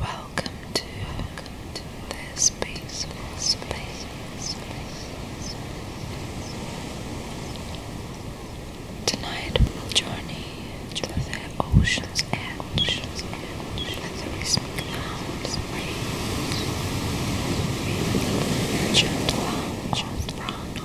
Welcome to, welcome to this peaceful space. Tonight we'll journey to the ocean's edge, and the rhythmic sounds breathe the gentle, gentle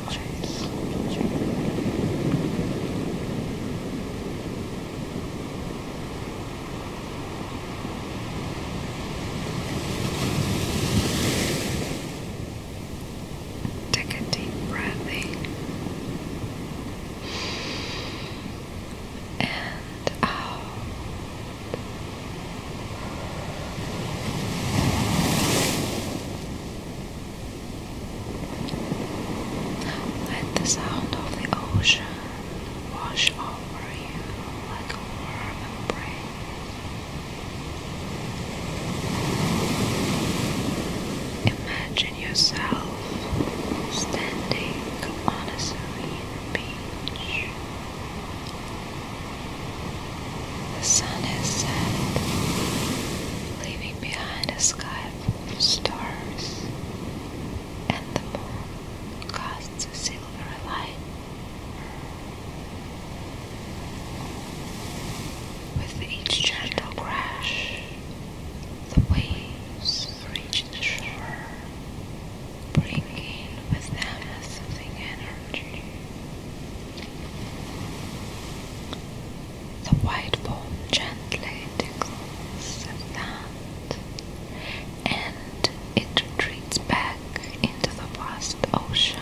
Take a deep breath in and out. Let the sound of the ocean wash over you like a warm embrace. Imagine yourself standing on a serene beach. The sun has set, leaving behind a sky full of stars, and the moon casts a silver light. With each gentle crash, the waves reach the shore, bringing with them soothing energy. The white foam gently tickles the land, and it retreats back into the vast ocean.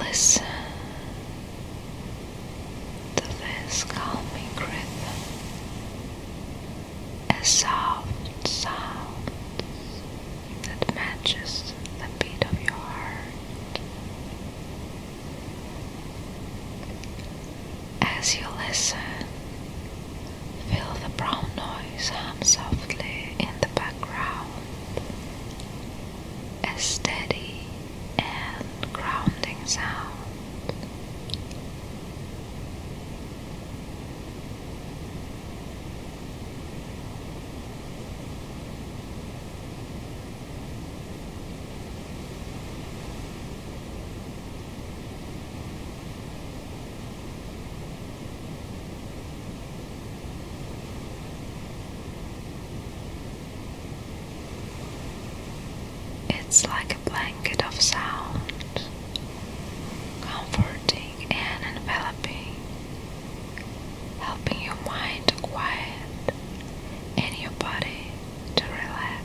Listen to this calming rhythm a soft sound that matches the beat of your heart. As you listen, feel the brown noise hum softly in the background, a steady and grounding sound. It's like a blanket of sound comforting and enveloping, helping your mind to quiet and your body to relax.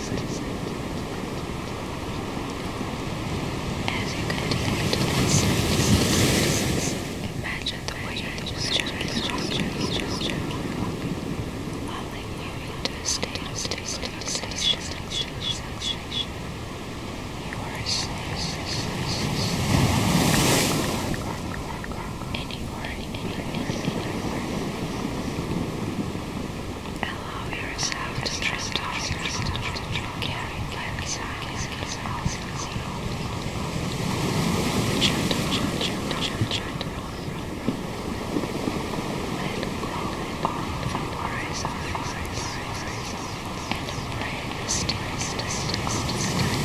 As you continue to listen, imagine the way the gesture lulling you into a state of stabilization. You are asleep. Anywhere, anywhere, anywhere. Allow yourself to drift off your stuff to carry like silence is also zero. Gentle, gentle, gentle, gentle. Let go of the worries of others and embrace the stillness, the stillness, the stillness.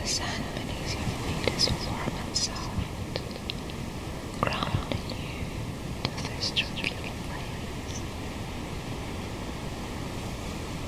The sand beneath your feet is warm and soft, grounding you to this gentle place.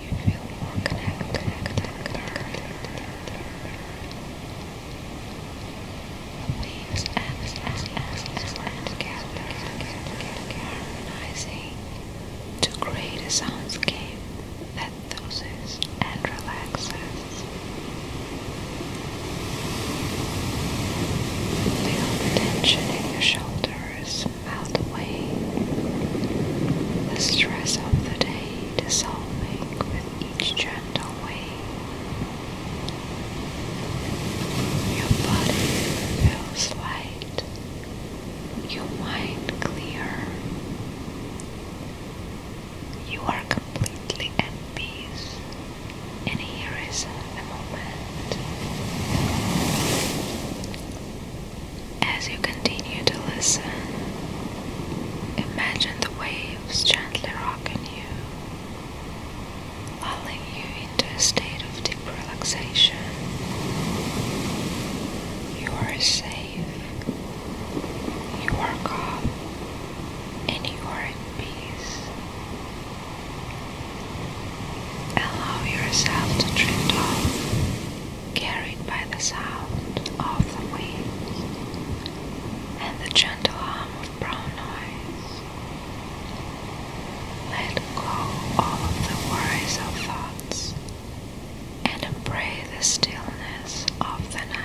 You feel more connected, connected, connected, connected, connected, connected, Leans and harmonizing to create a soundscape that soothes and relaxes. Feel the tension in your shoulders melt away, the stress of the day dissolving with each journey and away. Your body feels light, your mind clear. You are completely at peace, and here is a moment. As you continue to listen, imagine the way was gently rocking you, lulling you into a state of deep relaxation. You are safe, you are calm, and you are at peace. Allow yourself to drift off, carried by the sound of the waves and the gentle hum of brown eyes Let go all of the worries of thoughts and embrace the stillness of the night.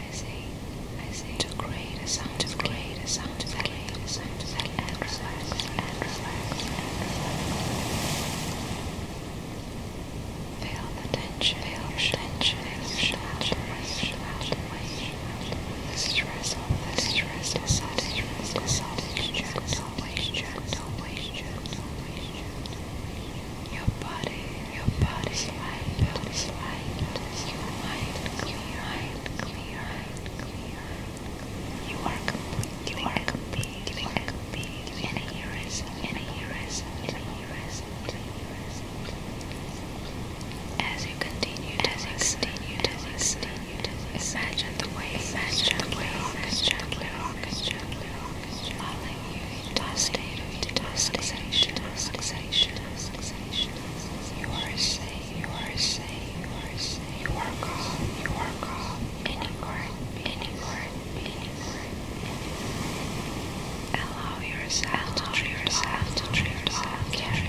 I say, I say, to create a sound, to create a sound, to create a sound, to create and relax, and relax, and relax. Feel the tension, feel the tension, feel the tension, feel the tension. The stress, all the stress, decided, decided, checked, always checked, always checked, always checked. Your body, your body, mind, body, mind, your mind, clear, mind, clear, clear. You are complete, you are complete, you are complete, and here is, and here is, and here is, and here is. As you continue, as you continue, as you continue, imagine the waves, imagine the waves, gently rockets, gently rockets, falling you into You are safe, you are safe, you are safe, you are calm, you are calm, anywhere, anywhere, anywhere. Allow yourself to drift off, to drift off, carry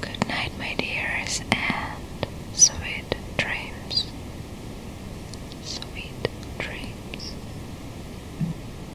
Good night, my dears, and sweet dreams. Sweet dreams.